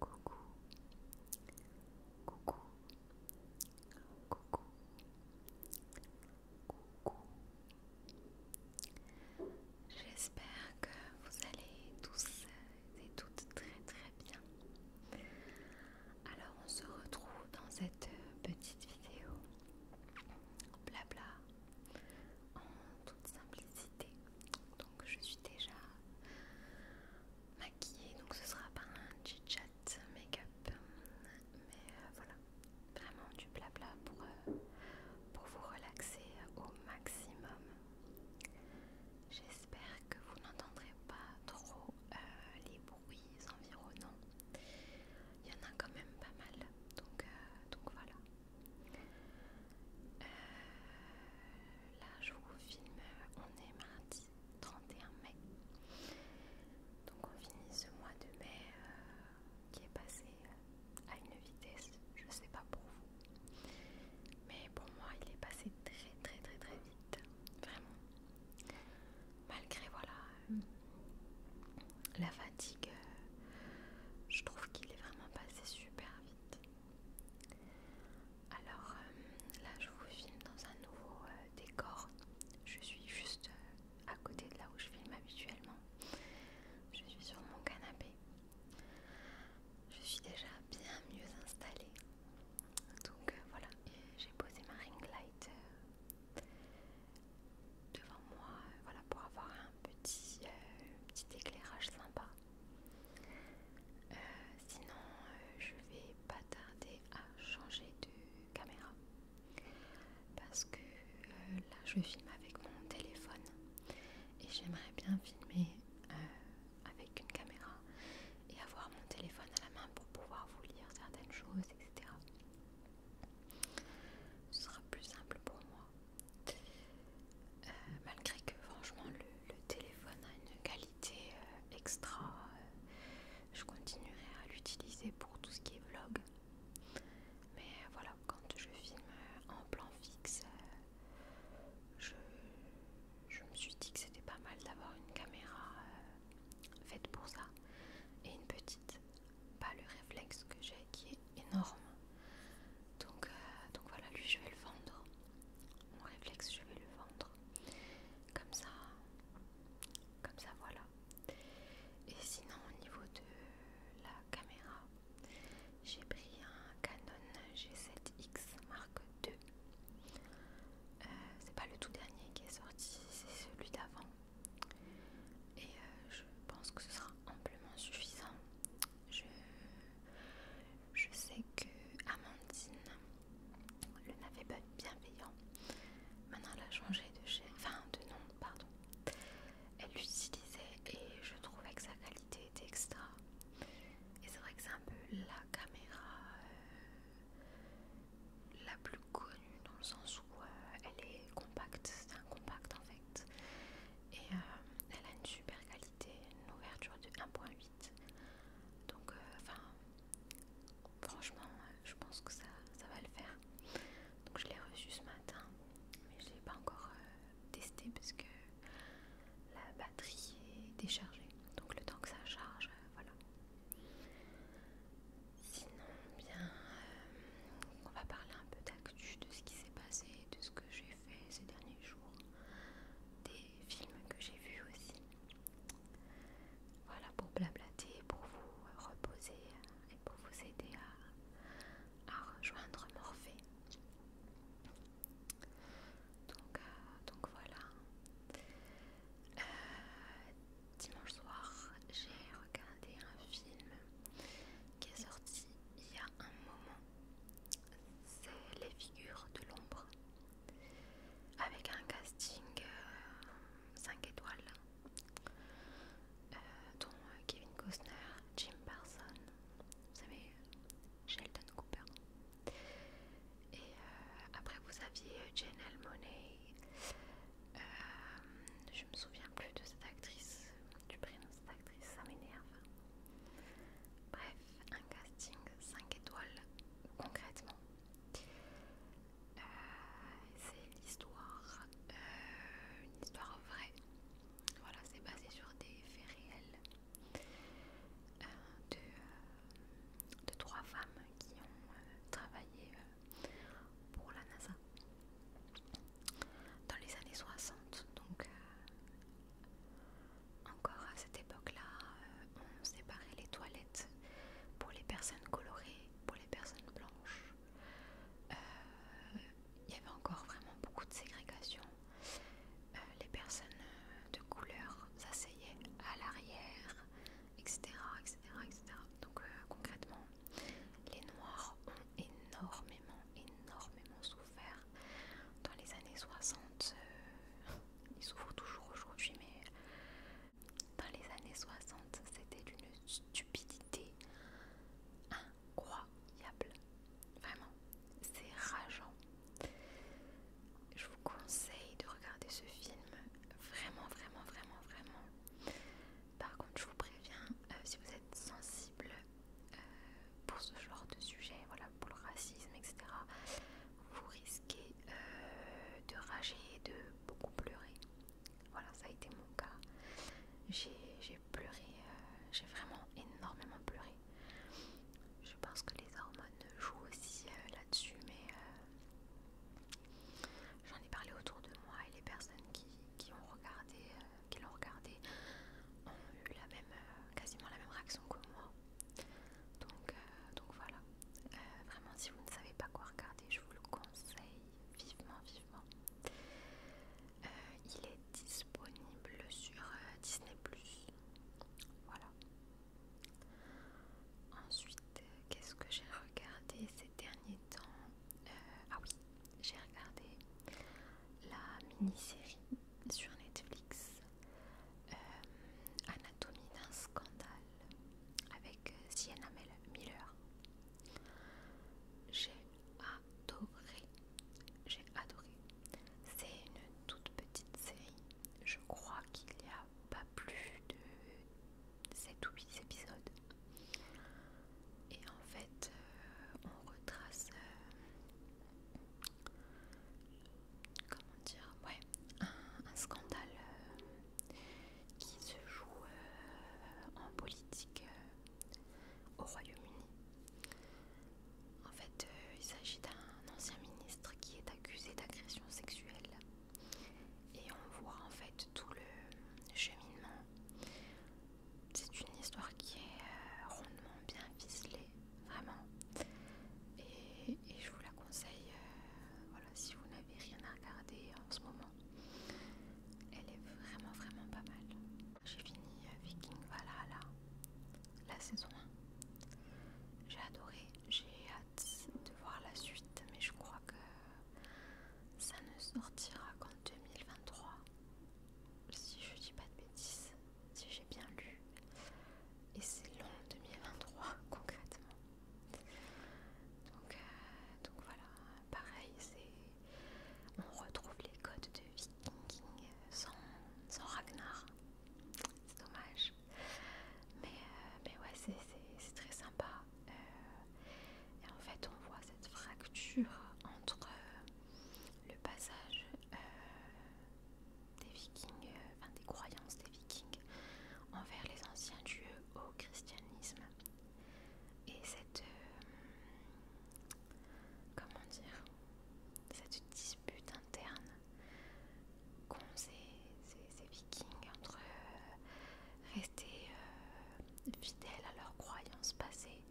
Coucou, coucou, coucou, coucou. J'espère que vous allez tous et toutes très très bien. Alors on se retrouve dans cette petite vidéo blabla en toute simplicité je suis déjà maquillée, donc ce sera pas un chit-chat make-up, mais euh, voilà, vraiment du blabla pour, euh, pour vous relaxer au maximum. J'espère que vous n'entendrez pas trop euh, les bruits environnants. Il y en a quand même pas mal, donc, donc voilà. Euh, là, je vous filme, on est mardi 31 mai. Donc on finit ce mois de mai euh, qui est passé euh, à une vitesse, je sais pas pour vous. Mais pour moi, il est passé très très très très vite. Vraiment. Malgré voilà la fatigue, je trouve qu'il est vraiment passé super vite. Alors euh, là je vous filme dans un nouveau euh, décor. Je suis juste euh, à côté de là où je filme habituellement. Je suis sur mon canapé. Je suis déjà bien mieux installée. Donc voilà, j'ai posé ma ring light devant moi voilà, pour avoir un petit, petit éclairage sympa. Euh, sinon, euh, je vais pas tarder à changer de caméra parce que euh, là je filme avec mon téléphone et j'aimerais bien filmer avec une caméra et avoir mon téléphone à la main pour pouvoir vous lire certaines choses, etc. Ce sera plus simple pour moi. Euh, malgré que franchement le, téléphone a une qualité euh, extra, euh, je continuerai à l'utiliser pour tout ce qui est vlog. Mais voilà, quand je filme en plan fixe, je, me suis dit que c'était pas mal d'avoir une caméra faite pour ça et une petite. Pas le réflexe que j'ai qui est énorme. Donc, euh, donc voilà, lui je vais le vendre. Mon réflexe, je vais le vendre. Comme ça, comme ça voilà. Et sinon au niveau de la caméra, j'ai pris un Canon G7X Mark II. Euh, c'est pas le tout dernier qui est sorti, c'est celui d'avant. Et euh, je pense que ce sera amplement suffisant je, sais que Amandine, le pas bienveillant, maintenant elle a changé de de nom, pardon. Elle l'utilisait et je trouvais que sa qualité était extra. Et c'est vrai que c'est un peu la caméra euh, la plus connue dans le sens où euh, elle est compacte, c'est un compact en fait. Et euh, elle a une super qualité une ouverture de 1.8. Donc, euh, enfin, franchement, je pense que ça, va le faire. Donc, je l'ai reçu ce matin, mais je ne l'ai pas encore euh, testé parce que la batterie est déchargée. Donc, le temps que ça charge, euh, voilà. Sinon, bien, on va parler un peu d'actu, de ce qui s'est passé, de ce que j'ai ces derniers jours, des films que j'ai vus aussi. Voilà pour blablater, pour vous reposer et pour vous aider à, rejoindre Morphée. Donc, euh, voilà. Euh, dimanche soir, j'ai regardé un film qui est sorti il y a un moment c'est les figures de l'ombre avec un casting 5 euh, étoiles euh, dont euh, Kevin Costner, Jim Parsons, vous savez, Sheldon Cooper. Et après vous aviez Jane Almoney, je je me souviens plus de cette actrice du prince cette actrice, ça m'énerve. Bref, un casting 5 étoiles concrètement. Euh, c'est l'histoire, euh, une histoire vraie. Voilà, c'est basé sur des faits réels euh, de, trois femmes qui ont travaillé pour la NASA dans les années 60, donc encore à cette époque-là, euh, on séparait les toilettes pour les personnes colorées, pour les personnes blanches. Euh, il y avait encore vraiment beaucoup de ségrégation. Euh, les personnes de couleur s'asseyaient à l'arrière, etc., Donc concrètement, les noirs ont énormément, énormément souffert dans les années 60 ils euh, il toujours aujourd'hui mais dans les années 60 c'était d'une stupidité incroyable vraiment c'est rageant je vous conseille de regarder ce film vraiment vraiment vraiment vraiment par contre je vous préviens euh, si vous êtes sensible euh, pour ce genre de sujet, voilà, pour le racisme, etc., vous risquez euh, de rager, de beaucoup pleurer. Voilà, ça a été mon cas. J'ai pleuré, euh, j'ai vraiment énormément pleuré. Je pense que les hormones jouent aussi là-dessus, mais j'en ai parlé autour de moi et les personnes qui, ont regardé qui l'ont regardé ont eu la même, euh, quasiment la même réaction que moi. Donc, euh, donc voilà. Euh, vraiment, si vous ne savez pas quoi regarder, je vous le conseille vivement, vivement. il est disponible sur Disney ⁇ Voilà. Ensuite, qu'est-ce que j'ai regardé ces derniers temps Ah oui, j'ai regardé la mini-série sur Netflix euh, Anatomie d'un scandale avec euh, Sienna Miller. J'ai adoré, j'ai adoré. C'est une toute petite série, je crois qu'il n'y a pas plus de 7 ou 8 épisodes. Et en fait, euh, on retrace comment dire, ouais, un, scandale euh, qui se joue euh, en politique euh, au Royaume-Uni. En fait, il s'agit d'un ancien ministre qui est accusé d'agression sexuelle. Et on voit en fait tout le cheminement c'est une histoire qui est euh, rondement bien ficelée, vraiment. Et, je vous la conseille, euh, voilà, si vous n'avez rien à regarder en ce moment. Elle est vraiment, vraiment pas mal. J'ai fini euh, Viking Valhalla, la saison 1. J'ai adoré, j'ai hâte de voir la suite, mais je crois que ça ne sortira qu'en 2023. Si je dis pas de bêtises, si j'ai bien lu. Et c'est long 2023 concrètement. Euh, donc, voilà, pareil, c'est on retrouve les codes de Viking euh, sans, sans Ragnar. C'est dommage. Mais, euh, ouais, c'est très sympa. et en fait, on voit cette fracture entre le passage euh, des vikings, euh, enfin des croyances des vikings envers les anciens dieux au christianisme. Et cette... Euh, comment dire Cette dispute interne qu'ont ces, vikings entre rester fidèles à leurs croyances passées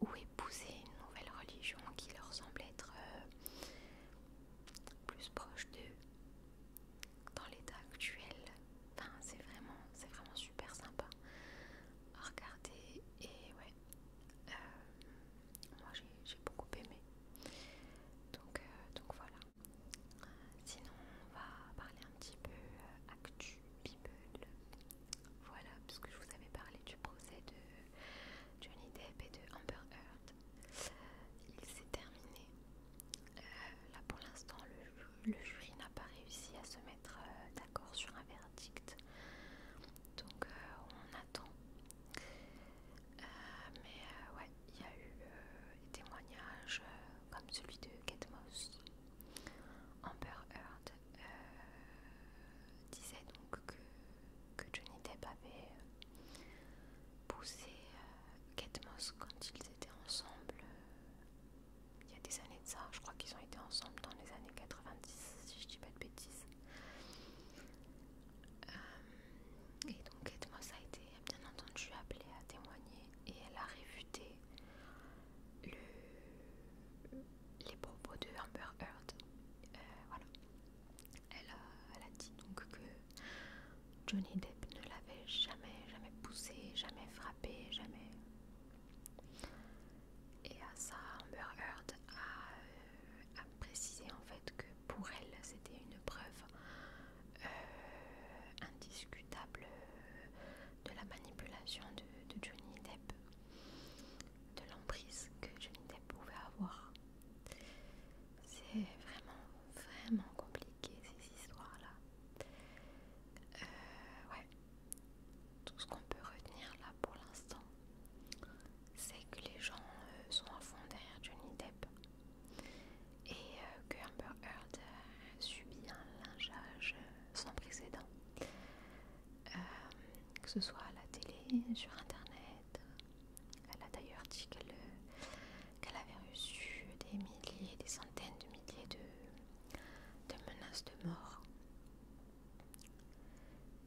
ou pousser une nouvelle religion qui leur semble être euh, plus proche d'eux dans l'état actuel. Enfin, c'est vraiment, c'est vraiment super sympa à regarder et ouais, euh, moi j'ai beaucoup aimé. Donc, euh, donc voilà. Sinon, on va parler un petit peu actu voilà, puisque je vous avais parlé du procès de Johnny Depp et de Amber Heard. Il s'est terminé. Euh, là pour l'instant, le, jury n'a pas réussi à se mettre euh, d'accord sur un verdict. Donc euh, on attend. mais ouais, il y a eu des témoignages comme celui de Kate Moss, Amber Heard, euh, disait donc que, Johnny Depp avait euh, poussé euh, Kate Moss quand ils étaient ensemble il y a des années de ça. Je crois qu'ils ont été ensemble dans les années 90, si je dis pas de bêtises. et donc Kate Moss a été bien entendu appelée à témoigner et elle a réfuté le les propos de Amber Heard. Euh, elle a, elle a dit donc que Johnny Depp ne l'avait jamais, jamais poussé, jamais frappé, jamais. Et à ça, Amber Heard a, euh, précisé en fait que pour elle c'était une preuve euh, indiscutable de la manipulation de Johnny Depp de l'emprise que Johnny Depp pouvait avoir. C'est vraiment, vraiment compliqué ces histoires-là. Euh, ouais. Tout ce qu'on peut retenir là pour l'instant, c'est que les gens euh, sont à fond derrière Johnny Depp et euh, que Amber Heard subit un lingeage sans précédent euh, que ce soit à la télé, sur internet. Elle a d'ailleurs dit qu'elle avait reçu des milliers, des centaines de milliers de, de menaces de mort.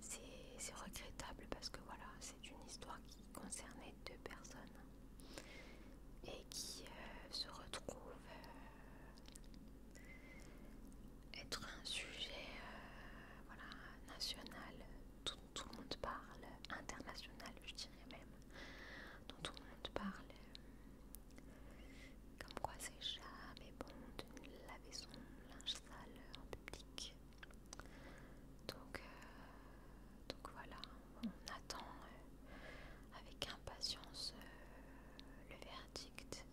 C'est regrettable parce que voilà, c'est une histoire qui concernait deux personnes et qui euh, se retrouvent euh, être un sujet euh, voilà, national dont tout le monde parle, international je dirais même, dont tout le monde parle, comme quoi c'est jamais bon de laver son linge sale en public. Donc, euh, donc voilà, on attend euh, avec impatience le verdict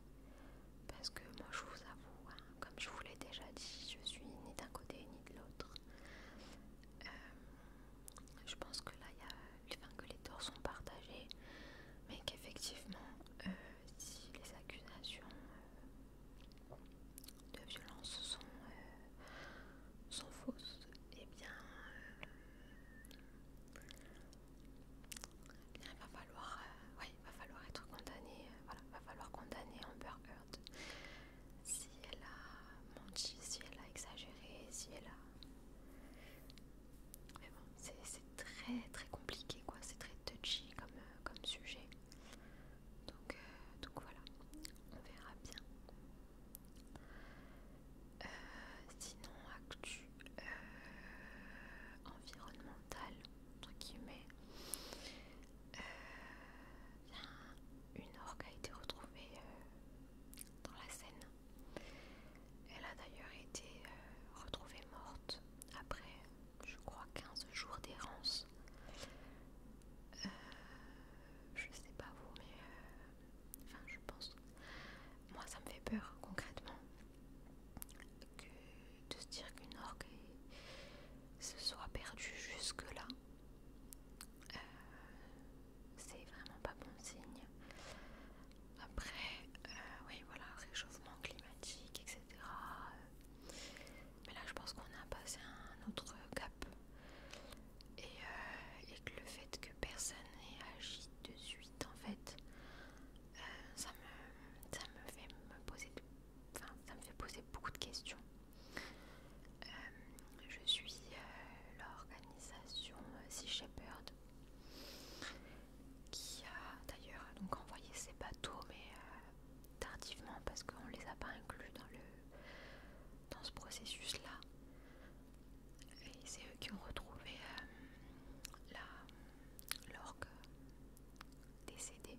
parce que moi je vous avoue, hein, comme je vous l'ai déjà dit, je suis ni d'un côté ni de l'autre. Euh, je pense que là, y a, que les torts sont partagés, mais qu'effectivement, euh, si les accusations euh, de violence sont, sont fausses, et eh bien, il va falloir, euh, va falloir être condamné. Euh, voilà, il va falloir condamner Amber Heard si elle a menti, si elle a exagéré, si elle a. Mais bon, c'est très très compliqué, quoi. C'est très touchy comme, euh, comme sujet. Donc, donc voilà, on verra bien. sinon, actu. Euh, environnemental entre guillemets, euh, une orgue a été retrouvée euh, dans la Seine. Elle a d'ailleurs été retrouvée morte après, je crois, 15 jours d'errance. je sais pas vous, mais enfin, je pense. Moi, ça me fait peur concrètement de se dire qu'une orgue se soit perdue jusque-là, euh, c'est vraiment pas bon signe. Après, euh, oui, voilà, réchauffement climatique, etc. Euh, mais là, je pense qu'on a passé un autre cap. Et, et que le fait que personne n'ait agi de suite, en fait, ça, me, fait me poser ça me fait poser beaucoup de questions. Euh, je suis euh, l'organisation euh, Sea Shepherd qui a d'ailleurs donc envoyé ses bateaux mais tardivement parce qu'on les a pas inclus dans le dans ce processus là et c'est eux qui ont retrouvé l'orgue décédé.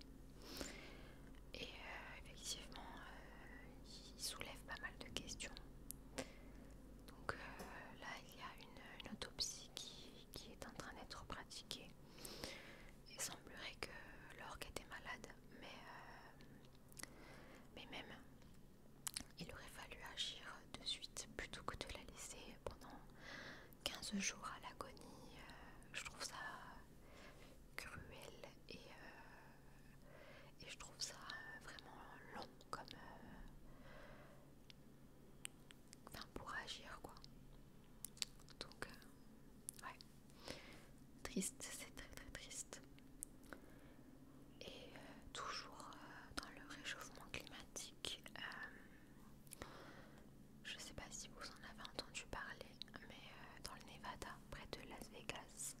Et euh, effectivement, euh, il soulève pas mal de questions. Donc euh, là, il y a une, autopsie qui, est en train d'être pratiquée. Il semblerait que l'orgue était malade, mais, mais même, il aurait fallu agir de suite plutôt que de la laisser pendant 15 jours à l'agonie, euh, je trouve ça cruel et, euh, je trouve ça vraiment long comme euh, pour agir quoi. Donc ouais, triste, c'est très très triste. Et toujours dans le réchauffement climatique, je sais pas si vous en avez entendu parler, mais euh, dans le Nevada, près de Las Vegas,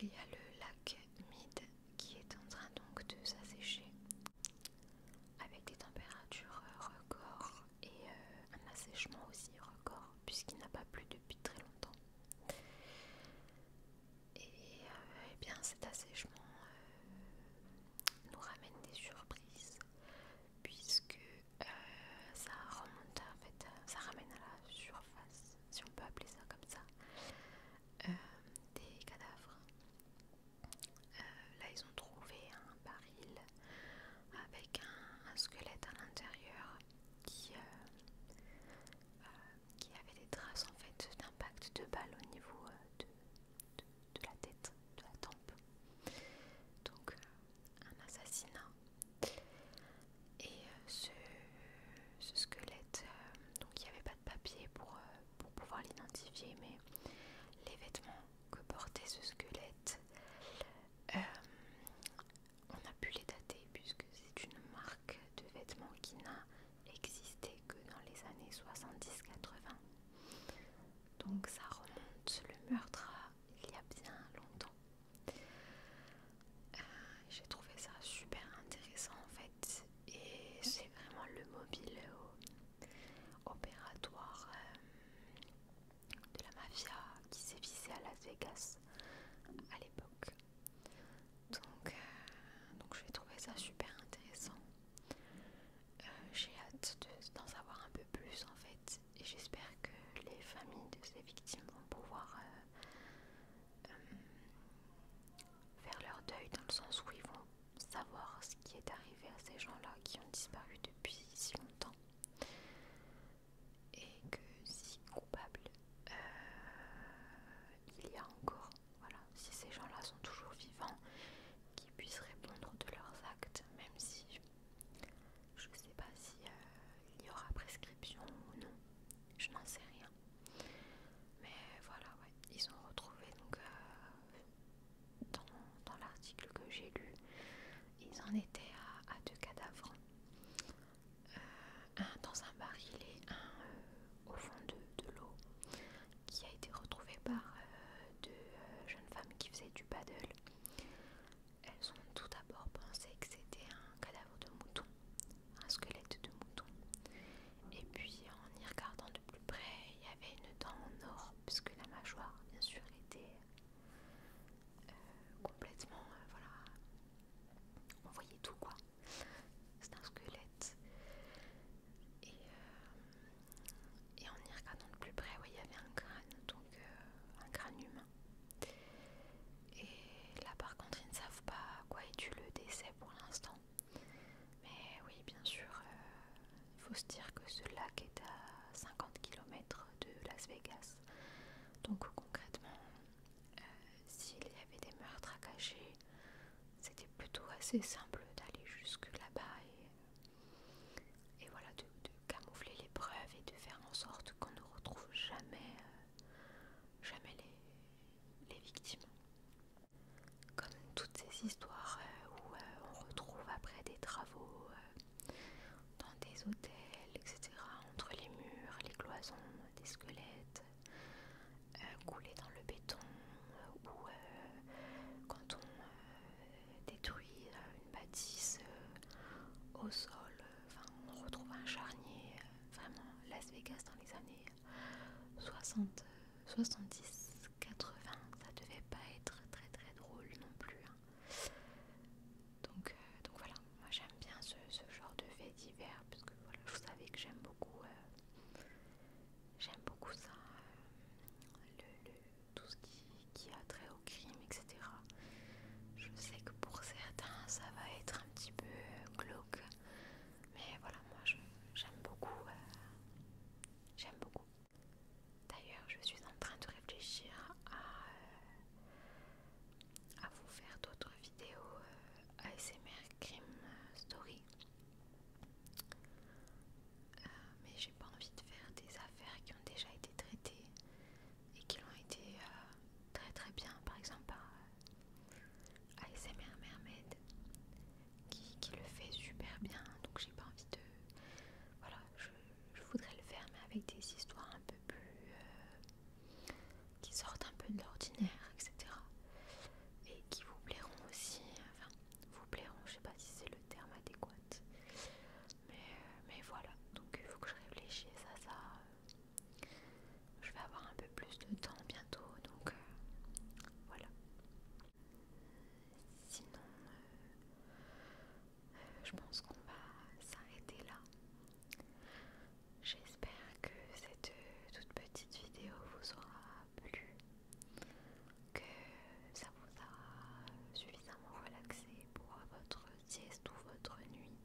il y a le lac Mid qui est en train donc de s'assécher avec des températures euh, records et euh, un assèchement aussi record puisqu'il n'a pas plu depuis très longtemps. Et, eh bien cet assèchement nous ramène des surprises puisque euh, ça remonte euh, ça ramène à la surface, si on peut appeler ça comme ça, euh, des cadavres. là, ils ont trouvé un baril avec un, squelette à l'intérieur qui, qui avait des traces en fait d'impact de balle au niveau de, de, la tête, de la tempe. Donc euh, un assassinat. Et euh, ce, ce squelette, euh, donc il n'y avait pas de papier pour, pour pouvoir l'identifier, mais les vêtements que portait ce squelette, on a pu les dater puisque c'est une marque de vêtements qui n'a existé que dans les années 70-80. Donc ça remonte le meurtre il y a bien longtemps. Euh, j'ai trouvé ça super intéressant en fait et c'est vraiment le mobile opératoire euh, de la mafia qui s'est visé à Las Vegas à l'époque. Donc, euh, donc j'ai trouvé ça super intéressant. Euh, j'ai hâte d'en savoir un peu plus en fait et j'espère que les familles de ces victimes vont pouvoir euh, euh, faire leur deuil dans le sens où ils vont savoir ce qui est arrivé à ces gens-là qui ont disparu depuis si longtemps et que si coupable il y a encore voilà, si ces gens-là sont toujours vivants, qu'ils puissent répondre de leurs actes, même si je ne sais pas s'il euh, il y aura prescription ou non, je n'en sais rien. Mais voilà, ouais, ils ont retrouvé donc euh, dans, l'article que j'ai lu, ils en étaient à, deux cadavres. Euh, un dans un baril et un au fond de, de l'eau qui a été retrouvée par euh, deux euh, jeunes femmes qui faisaient du paddle. Elles ont tout d'abord pensé que c'était un cadavre de mouton, un squelette de mouton. Et puis en y regardant de plus près, il y avait une dent en or, puisque la mâchoire, bien sûr, était euh, complètement... voilà, on voyait tout quoi. C'est un squelette. Euh, et, en y regardant de plus près, il y avait un crâne, donc euh, un crâne humain. Et là par contre, ils ne savent pas à quoi est dû le décès pour l'instant. Mais oui, bien sûr, euh, il faut se dire que ce lac est à 50 km de Las Vegas. Donc concrètement, s'il y avait des meurtres à cacher, c'était plutôt assez simple d'aller jusque là-bas et voilà, de, camoufler les preuves et de faire en sorte qu'on ne retrouve jamais, euh, jamais les, victimes. Comme toutes ces histoires euh, où euh, on retrouve après des travaux dans des hôtels, etc., entre les murs, les cloisons, des squelettes coulés dans le béton, ou euh, quand on euh, détruit euh, une bâtisse au sol, enfin on retrouve un charnier, vraiment Las Vegas dans les années 60, 70, 80, ça devait pas être très très drôle non plus. Hein. Donc, donc voilà, moi j'aime bien ce, genre de faits divers parce que voilà, je savais que j'aime beaucoup J'aime beaucoup ça, euh, le, tout ce qui, a trait au crime, etc. Je sais que pour certains, ça va être un petit peu euh, glauque, mais voilà, moi j'aime beaucoup. Euh, j'aime beaucoup. D'ailleurs, je suis en train de réfléchir à, vous faire d'autres vidéos ASMR Crime Story mais j'ai pas envie de faire des affaires qui ont déjà été traitées et qui l'ont été euh, très très bien, par exemple par ASMR Mermaid qui, le fait super bien, donc j'ai pas envie de. Voilà, je, voudrais le faire, mais avec des histoires un peu plus. Euh, qui sortent un peu de l'ordinaire, etc. Et qui vous plairont aussi vous plairont. Je sais pas si c'est le terme adéquat, euh, mais, voilà. Donc il faut que je réfléchisse à ça. Je vais avoir un peu plus de temps bientôt, donc euh, voilà. Sinon, euh, je pense qu'on va s'arrêter là. J'espère que cette toute petite vidéo vous aura que ça vous a suffisamment relaxé pour votre sieste ou votre nuit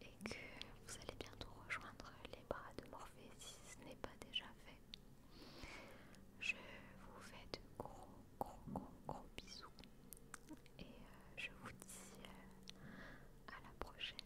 et que vous allez bientôt rejoindre les bras de Morphée si ce n'est pas déjà fait. Je vous fais de gros gros gros gros bisous et euh, je vous dis euh, à la prochaine.